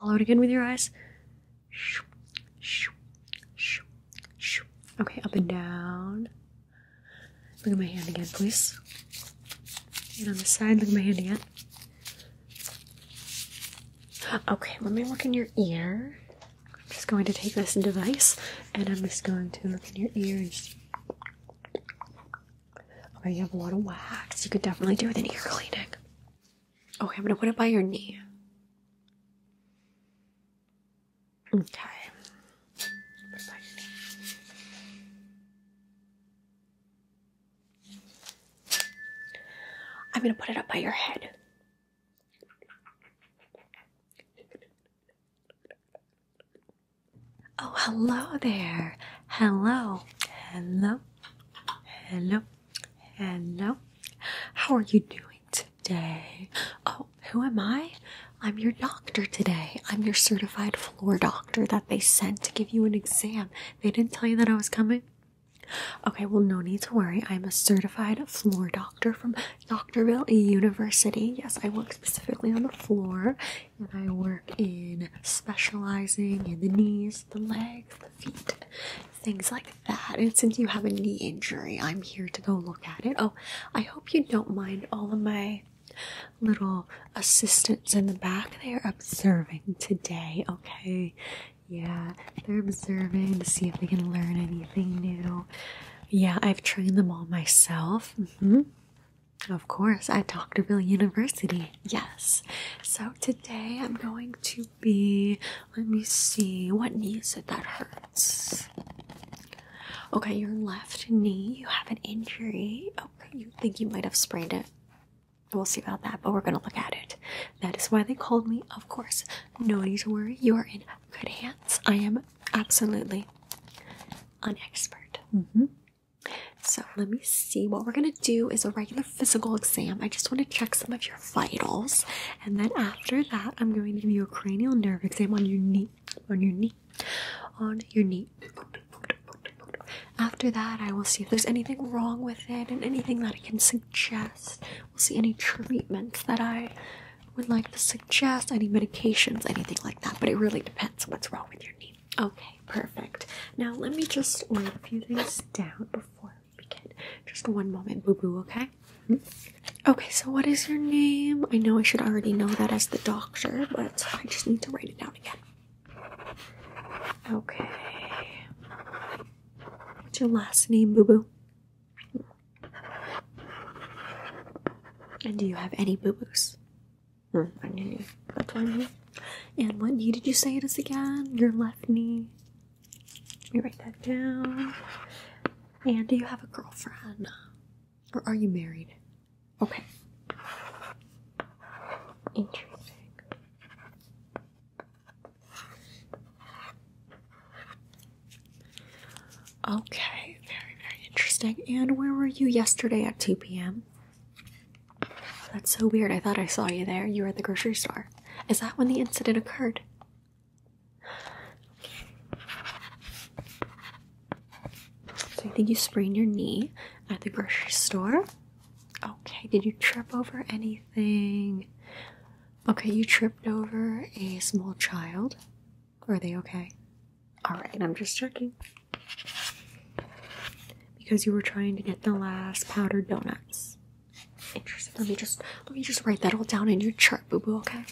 Follow it again with your eyes. Okay, up and down. Look at my hand again, please. And on the side, look at my hand again. Okay, let me look in your ear. I'm just going to take this device and I'm just going to look in your ear and just... Okay, you have a lot of wax. You could definitely do with an ear cleaning. Okay, I'm gonna put it by your knee. Okay. I'm gonna put it up by your head. Oh, hello there. Hello. Hello. Hello. Hello. How are you doing today? Oh, who am I? I'm your doctor today. I'm your certified floor doctor that they sent to give you an exam. They didn't tell you that I was coming. Okay, well, no need to worry. I'm a certified floor doctor from Doctorville University. Yes, I work specifically on the floor and I work in specializing in the knees, the legs, the feet, things like that. And since you have a knee injury, I'm here to go look at it. Oh, I hope you don't mind all of my little assistants in the back. They're observing today, okay? Yeah, they're observing to see if they can learn anything new. Yeah, I've trained them all myself. Mm -hmm. Of course, at Doctorville University. Yes. So today I'm going to be let me see what knee is it that hurts okay your left knee you have an injury okay you think you might have sprained it we'll see about that but we're gonna look at it that is why they called me of course no need to worry you are in good hands i am absolutely an expert mm-hmm. so let me see what we're gonna do is a regular physical exam. I just want to check some of your vitals, and then after that, I'm going to give you a cranial nerve exam on your knee, on your knee, on your knee. After that, I will see if there's anything wrong with it and anything that I can suggest. We'll see any treatments that I would like to suggest, any medications, anything like that. But it really depends on what's wrong with your knee. Okay, perfect. Now, let me just write a few things down before just one moment, boo boo, okay? Okay, so what is your name? I know I should already know that as the doctor, but I just need to write it down again. Okay. What's your last name, boo boo? And do you have any boo boos? Hmm, I knew you. That's what And what knee did you say it is again? Your left knee. Let me write that down. And do you have a girlfriend? Or are you married? Okay. Interesting. Okay, very, very interesting. And where were you yesterday at 2 p.m.? That's so weird. I thought I saw you there. You were at the grocery store. Is that when the incident occurred? So I think you sprained your knee at the grocery store. Okay, did you trip over anything? Okay, you tripped over a small child. Are they okay? Alright, I'm just checking. Because you were trying to get the last powdered donuts. Interesting. Let me just let me just write that all down in your chart, boo boo. Okay.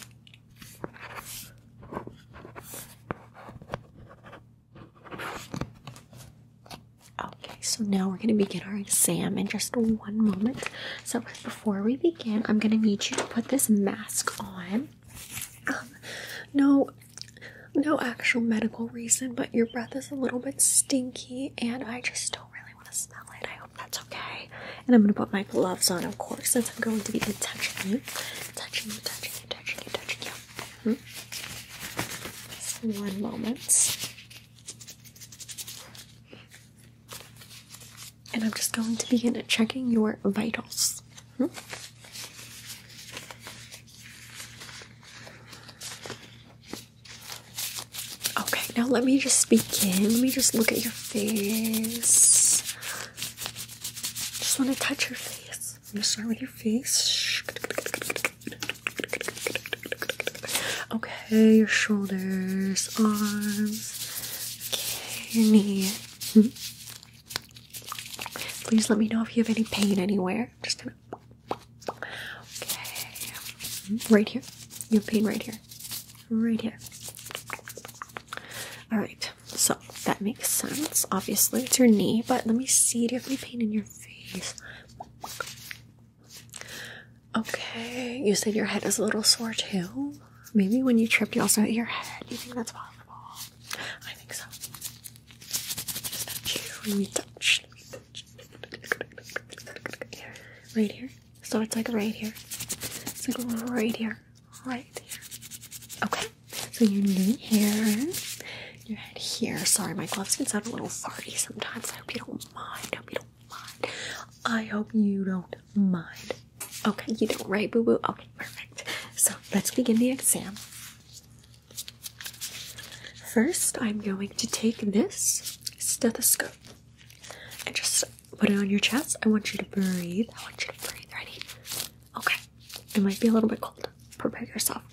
Okay, so now we're gonna begin our exam in just one moment. So before we begin, I'm gonna need you to put this mask on. Um, no, no actual medical reason, but your breath is a little bit stinky, and I just don't really really want to smell it. I hope that's okay. And I'm going to put my gloves on, of course, since I'm going to be touching you. Touching you, touching you, touching you, touching you. Hmm. Just one moment. And I'm just going to begin checking your vitals. Hmm. Okay, now let me just begin. Let me just look at your face. Just want to touch your face. I'm gonna start with your face. Okay, your shoulders, arms. Okay, your knee. Please let me know if you have any pain anywhere. just gonna Okay. Right here. Your pain right here. Right here. Alright, so that makes sense. Obviously, it's your knee, but let me see. Do you have any pain in your face? Okay, you said your head is a little sore too. Maybe when you tripped, you also hit your head. Do you think that's possible? I think so. Just Let me touch right here. So it's like right here. It's like right here. Right here. Okay. So your knee here. Your head here. Sorry, my gloves can sound a little farty sometimes. I hope you don't mind. I hope you don't mind. I hope you don't mind. Okay, you don't, right, boo boo? Okay, perfect. So let's begin the exam. First, I'm going to take this stethoscope. And just put it on your chest. I want you to breathe. I want you to breathe. Ready? Okay. It might be a little bit cold. Prepare yourself.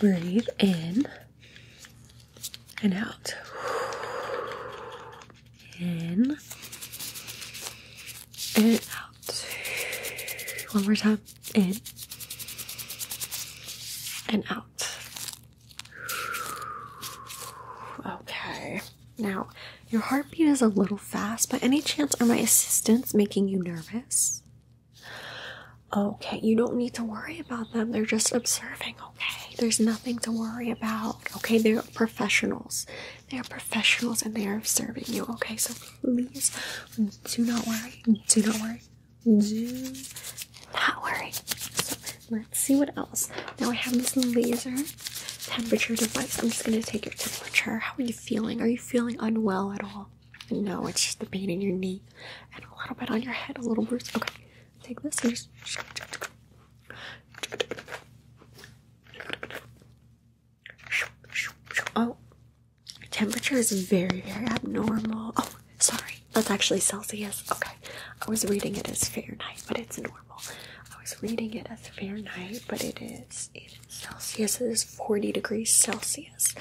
Breathe in and out. In and out. One more time. In and out. Okay. Now, your heartbeat is a little fast. By any chance, are my assistants making you nervous? Okay, you don't need to worry about them. They're just observing, okay? There's nothing to worry about. Okay, they're professionals. They are professionals and they are observing you, okay? So please do not worry. Do not worry. June. Not worry. So let's see what else. Now I have this laser temperature device. I'm just gonna take your temperature. How are you feeling? Are you feeling unwell at all? No, it's just the pain in your knee and a little bit on your head, a little bruise. Okay, take this and just. Oh, temperature is very, very abnormal. Oh, Sorry, that's actually Celsius. Okay, I was reading it as Fahrenheit, but it's normal. I was reading it as Fahrenheit, but it is, it is Celsius. It is 40 degrees Celsius.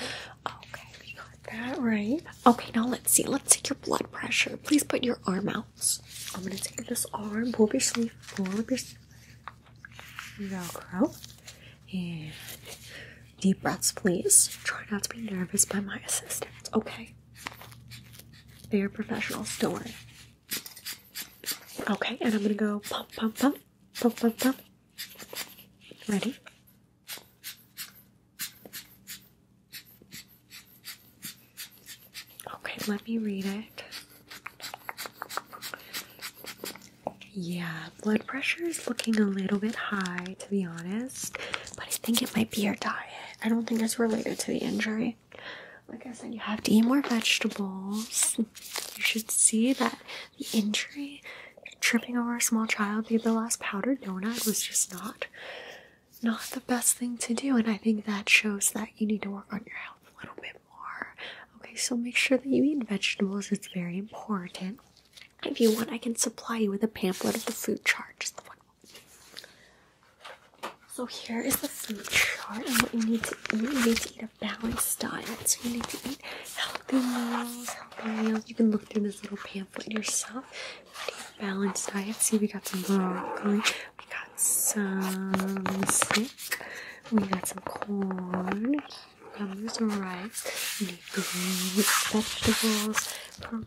Okay, we got that right. Okay, now let's see. Let's take your blood pressure. Please put your arm out. I'm gonna take this arm. Pull up your sleeve. Pull up your sleeve. Velcro. And Deep breaths, please. Try not to be nervous by my assistants, okay? They are professionals, don't worry. Okay, and I'm gonna go pump, pump, pump, pump, pump, pump. Ready? Okay, let me read it. Yeah, blood pressure is looking a little bit high, to be honest but I think it might be your diet. I don't think it's related to the injury. Like I said, you have to eat more vegetables. You should see that the injury, tripping over a small child, maybe the last powdered donut was just not not the best thing to do. And I think that shows that you need to work on your health a little bit more. Okay, so make sure that you eat vegetables, it's very important. If you want, I can supply you with a pamphlet of the food chart. So here is the food chart and what you need to eat. You need to eat a balanced diet. So you need to eat healthy meals, healthy meals. You can look through this little pamphlet yourself. balanced diet. See, we got some broccoli. We got some sick. We got some corn, cucumbers, rice, mainly fruits, vegetables,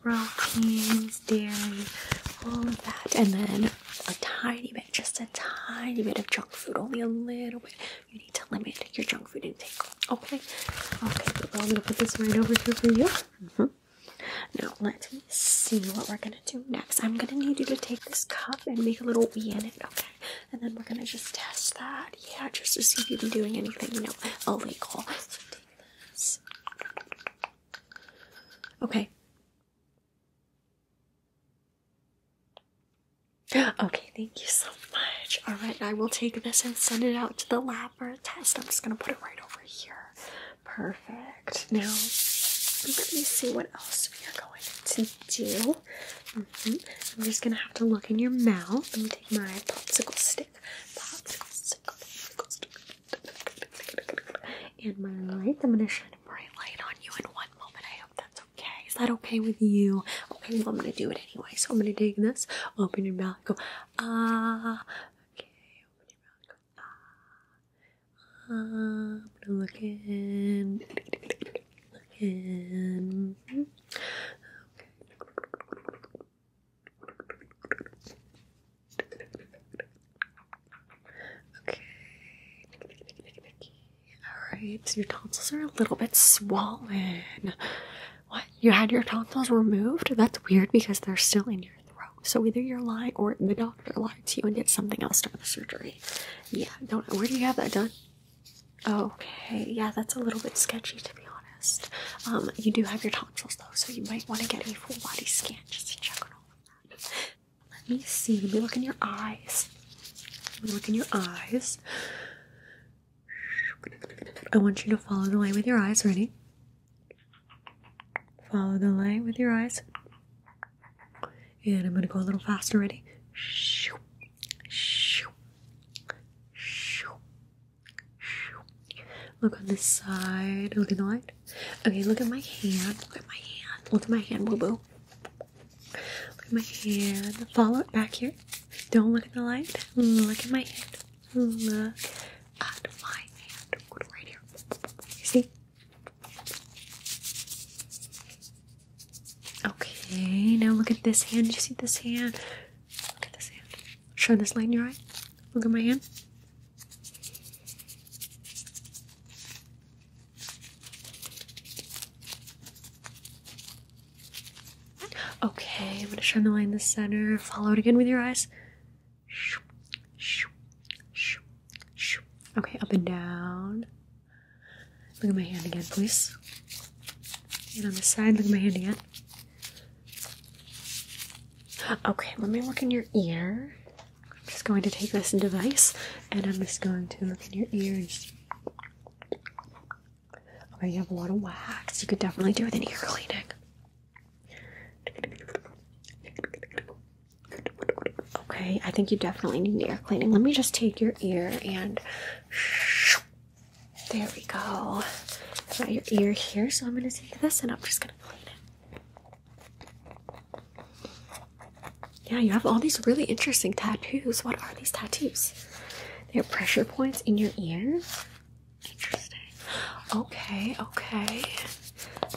proteins, dairy, all of that, and then a tiny bit, just a tiny bit of junk food, only a little bit. You need to limit your junk food intake. Okay, okay, I'm gonna put this right over here for you. Mm-hmm. Now let me see what we're gonna do next. I'm gonna need you to take this cup and make a little wee in it, okay? And then we're gonna just test that, yeah, just to see if you've been doing anything, you know, illegal. Okay. Okay, thank you so much. Alright, I will take this and send it out to the lab for a test. I'm just gonna put it right over here. Perfect. Now, let me see what else we are going to do. Mm-hmm. I'm just gonna have to look in your mouth. Let me take my popsicle stick. And my light, I'm gonna shine a bright light on you in one moment. I hope that's okay. Is that okay with you? Okay, well, I'm gonna do it anyway. So I'm gonna take this, open your mouth, go, ah. Okay, open your mouth, go, ah. ah I'm going look in. Look in. Okay. Okay. Alright, your tonsils are a little bit swollen. What? You had your tonsils removed? That's weird because they're still in your throat. So either you're lying or the doctor lied to you and did something else during the surgery. Yeah, don't where do you have that done? Okay, yeah, that's a little bit sketchy to be honest. Um, you do have your tonsils though, so you might want to get a full body scan just to check on all of that. Let me see. Let me look in your eyes. look in your eyes. I want you to follow the line with your eyes. Ready? Follow the line with your eyes. And I'm going to go a little faster. Ready? Shoo, shoo, shoo, Look on this side. Look in the light. Okay, look at my hand. Look at my hand. Look at my hand, boo boo. Look at my hand. Follow it back here. Don't look at the light. Look at my hand. Look at my hand. Right here. You see? Okay, now look at this hand. you see this hand? Look at this hand. Shine this light in your eye. Look at my hand. Okay, I'm gonna shine the light in the center. Follow it again with your eyes. Okay, up and down. Look at my hand again, please. And on the side, look at my hand again. Okay, let me look in your ear. I'm just going to take this device and I'm just going to look in your ears. Okay, you have a lot of wax. You could definitely do with an ear cleaning. Okay, I think you definitely need an ear cleaning. Let me just take your ear and there we go. got your ear here, so I'm going to take this and I'm just going to clean it. Yeah, you have all these really interesting tattoos. What are these tattoos? They're pressure points in your ear. Interesting. Okay, okay.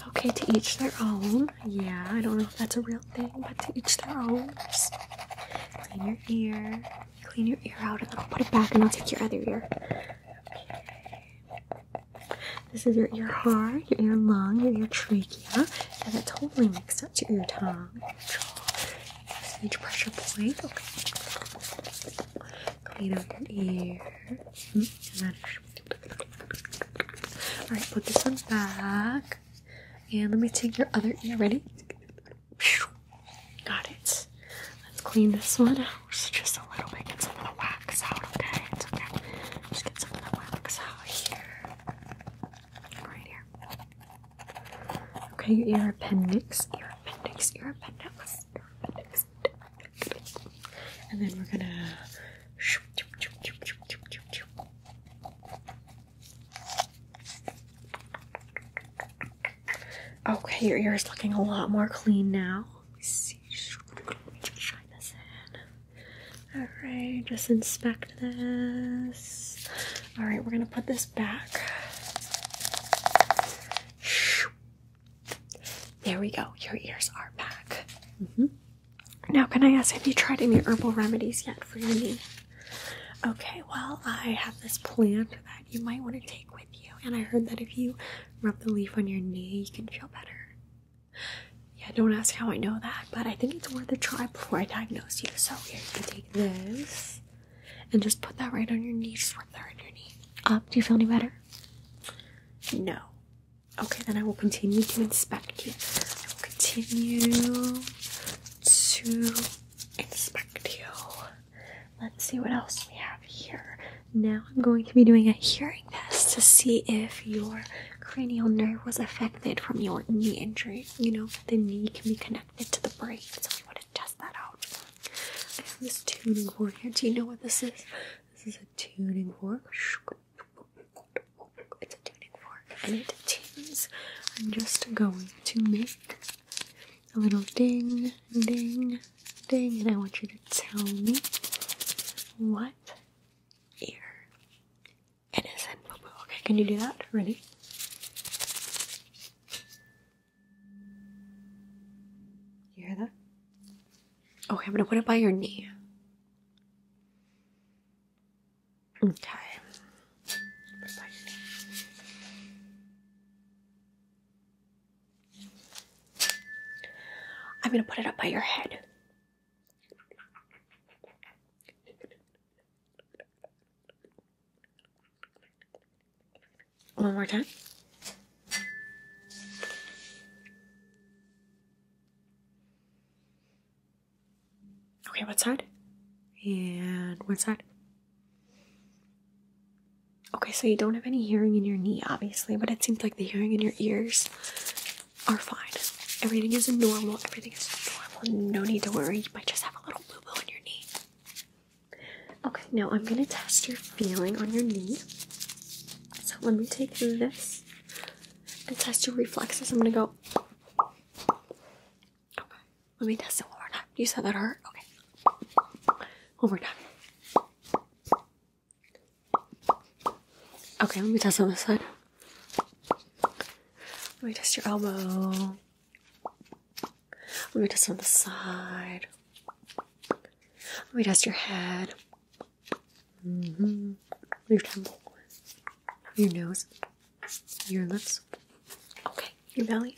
Okay, to each their own. Yeah, I don't know if that's a real thing, but to each their own. clean your ear. Clean your ear out and then I'll put it back and I'll take your other ear. Okay. This is your ear hard, your ear lung, your trachea, and it totally makes sense. to Your tongue, your jaw, stage pressure point. Okay. Clean out your ear. Mm-hmm. Alright, put this one back. And let me take your other ear. Ready? Got it. Let's clean this one out just a little bit. Get some of the wax out, okay? It's okay. Just get some of the wax out here. Right here. Okay, your appendix, ear appendix, ear appendix, ear appendix. And then we're gonna. Okay, your ear is looking a lot more clean now. Let me see. Try this in. Alright, just inspect this. Alright, we're gonna put this back. There we go. Your ears are back. Mm-hmm. Now, can I ask, have you tried any herbal remedies yet for your knee? Okay, well, I have this plant you might want to take with you. And I heard that if you rub the leaf on your knee, you can feel better. Yeah, don't ask how I know that, but I think it's worth a try before I diagnose you. So here, you can take this and just put that right on your knee. Just rub that on your knee. Up. Do you feel any better? No. Okay, then I will continue to inspect you. I will continue to inspect you. Let's see what else we have here. Now I'm going to be doing a hearing test to see if your cranial nerve was affected from your knee injury. You know, the knee can be connected to the brain, so we want to test that out. I have this tuning fork here. Do you know what this is? This is a tuning fork. It's a tuning fork, and it tunes. I'm just going to make a little ding ding, ding, and I want you to tell me what ear it is in. Okay, can you do that? Ready? You hear that? Okay, I'm gonna put it by your knee. Okay. I'm gonna put it up by your head. One more time. Okay, what side? And what side? Okay, so you don't have any hearing in your knee, obviously, but it seems like the hearing in your ears are fine. Everything is normal, everything is normal. No need to worry, you might just have a little boo boo in your knee. Okay, now I'm gonna test your feeling on your knee. So let me take this and test your reflexes. I'm gonna go. Okay, let me test it one more time. You said that hurt? Okay. One more time. Okay, let me test on this side. Let me test your elbow. Let me test on the side. Let me test your head. Mm-hmm. Your temple. Your nose. Your lips. Okay, your belly.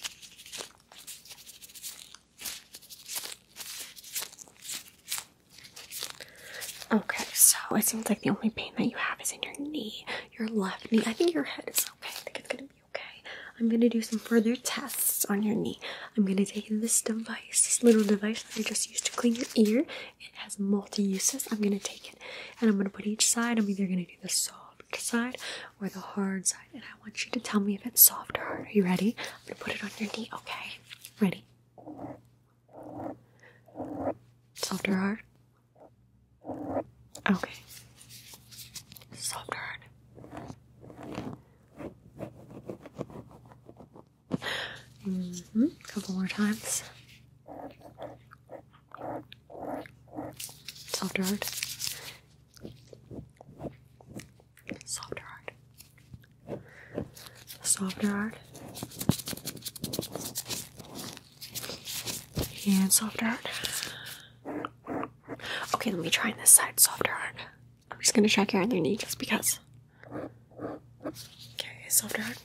Okay, so it seems like the only pain that you have is in your knee, your left knee. I think your head is okay. I think it's gonna be okay. I'm gonna do some further tests on your knee. I'm gonna take this device, this little device that I just used to clean your ear. It has multi uses. I'm gonna take it and I'm gonna put each side. I'm either gonna do the soft side or the hard side, I want you to tell me if it's soft or hard. Are you ready? I'm gonna put it on your knee, okay? Ready? Soft or hard? Okay. Soft or hard? Mm hmm. Couple more times. Soft or hard? Softer art. Softer art. And softer art. Okay, let me try on this side. Softer art. I'm just gonna check your other knee just because. Okay, softer art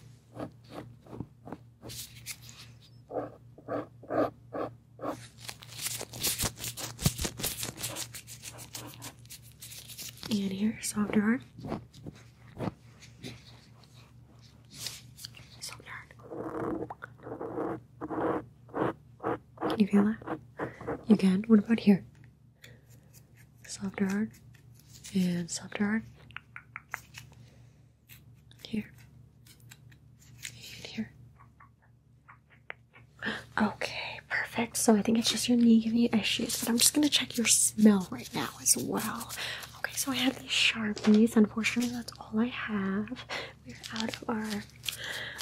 and here, softer hard. Softer hard. Can you feel that? You can. What about here? Softer hard and softer hard. Here and here Okay, perfect. So I think it's just your knee giving you issues, but I'm just gonna check your smell right now as well. Okay, so I have these sharpies. Unfortunately, that's all I have. We're out of our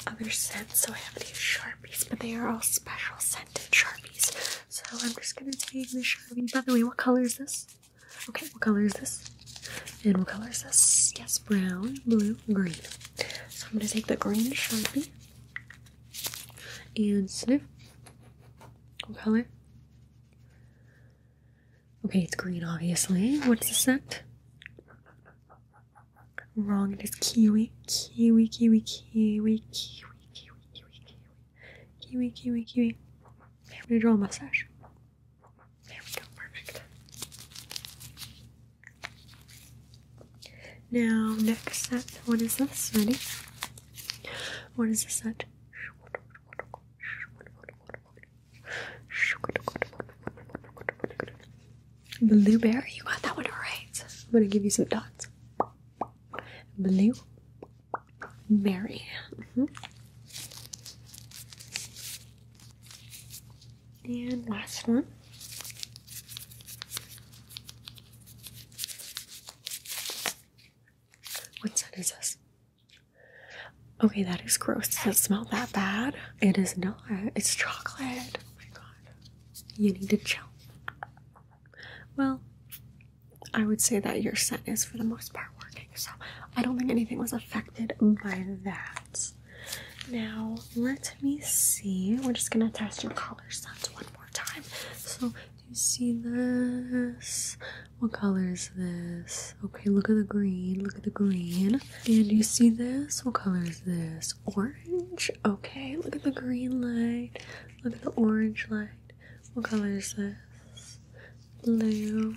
other scents, so I have these sharpies, but they are all special scented sharpies. So I'm just gonna take the sharpie. By the way, what color is this? Okay, what color is this? And what color is this? Yes, brown, blue, green. So I'm gonna take the green sharpie. And sniff. What color? Okay, it's green, obviously. What's the scent? Wrong, it is kiwi. Kiwi, kiwi, kiwi, kiwi, kiwi, kiwi, kiwi, kiwi, kiwi, kiwi, kiwi. I'm gonna draw a mustache. There we go, perfect. Now, next set. What is this? Ready? What is this set? Blueberry. You got that one right. i right. I'm gonna give you some dots. Blueberry. Mm-hmm. And last one. What scent is this? Okay, that is gross. Does it smell that bad? It is not. It's chocolate. Oh my god. You need to chill. Well, I would say that your scent is for the most part working, so I don't think anything was affected by that. Now, let's let me see. We're just gonna test your color sense one more time. So, do you see this? What color is this? Okay, look at the green. Look at the green. And you see this? What color is this? Orange. Okay, look at the green light. Look at the orange light. What color is this? Blue.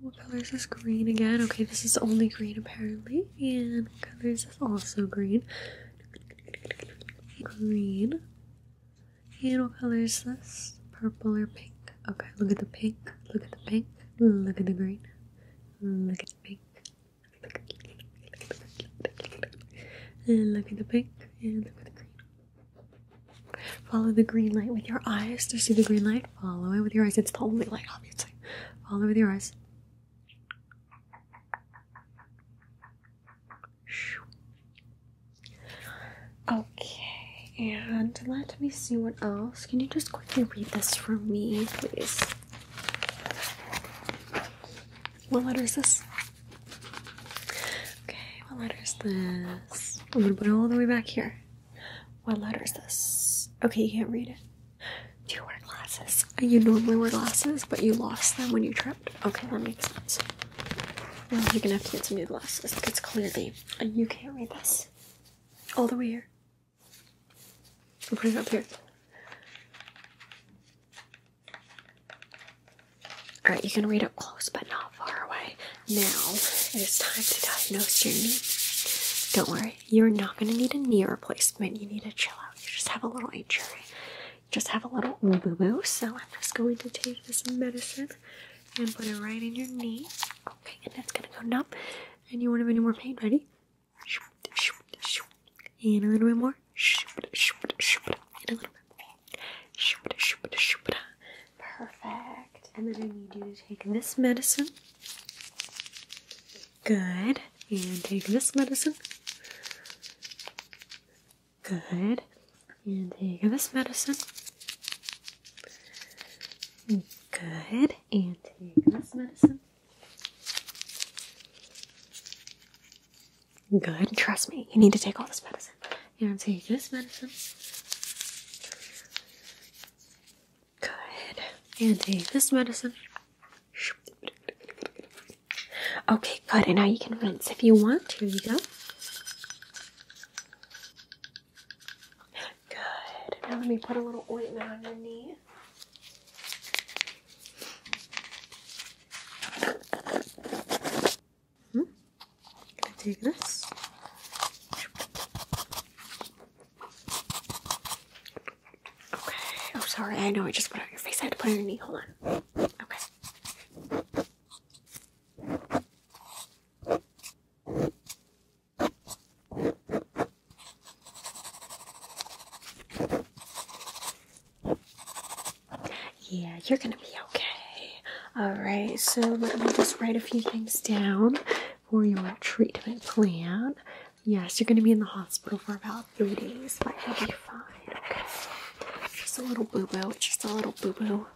What color is this green again? Okay, this is only green apparently. And colors color is also green? green. And what color is this? Purple or pink? Okay, look at the pink. Look at the pink. Look at the green. Look at the pink. Look at the pink. And Look at the pink. And look at the green. Follow the green light with your eyes. to see the green light? Follow it with your eyes. It's the only light, obviously. Follow with your eyes. Okay, and let me see what else. Can you just quickly read this for me, please? What letter is this? Okay, what letter is this? I'm gonna put it all the way back here. What letter is this? Okay, you can't read it. Do you wear glasses? You normally wear glasses, but you lost them when you tripped. Okay, that makes sense. Well, you're gonna have to get some new glasses It's clearly uh, you can't read this. All the way here. I'm putting it up here. Alright, you can read up close but not far away. Now it is time to diagnose your knee. Don't worry, you're not gonna need a knee replacement, you need a chill out you just have a little injury. You just have a little boo boo. So I'm just going to take this medicine and put it right in your knee. Okay, and that's gonna go numb. And you won't have any more pain. Ready? And a little bit more. And a little bit more. Perfect. And then I need you to take this medicine. Good. And take this medicine. Good. And take this medicine. Good. And take this medicine. Good. Trust me, you need to take all this medicine. And take this medicine. Good. And take this medicine. Okay, good. And now you can rinse if you want. Here you go. Good. Now let me put a little ointment on your knee. Hmm. Gonna take this. Okay. Oh, sorry. I know I just put on your face. I had to put on your knee. Hold on. Okay. Yeah, you're gonna be okay. Alright, so let me just write a few things down for your treatment plan. Yes, you're gonna be in the hospital for about three days, but you'll be fine. Just a little boo boo. just a little boo boo.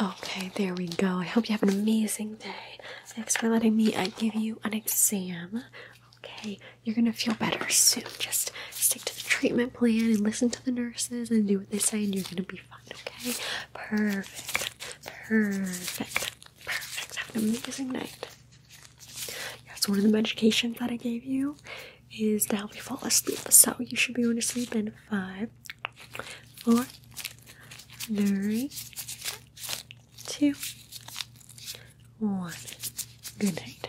Okay, there we go. I hope you have an amazing day. Thanks for letting me uh, give you an exam okay, you're gonna feel better soon. Just stick to the treatment plan and listen to the nurses and do what they say, and you're gonna be fine, okay? Perfect, perfect, perfect. Have an amazing night. Yes, one of the medications that I gave you is to help you fall asleep. So you should be going to sleep in five, four, three, two, one. Good night.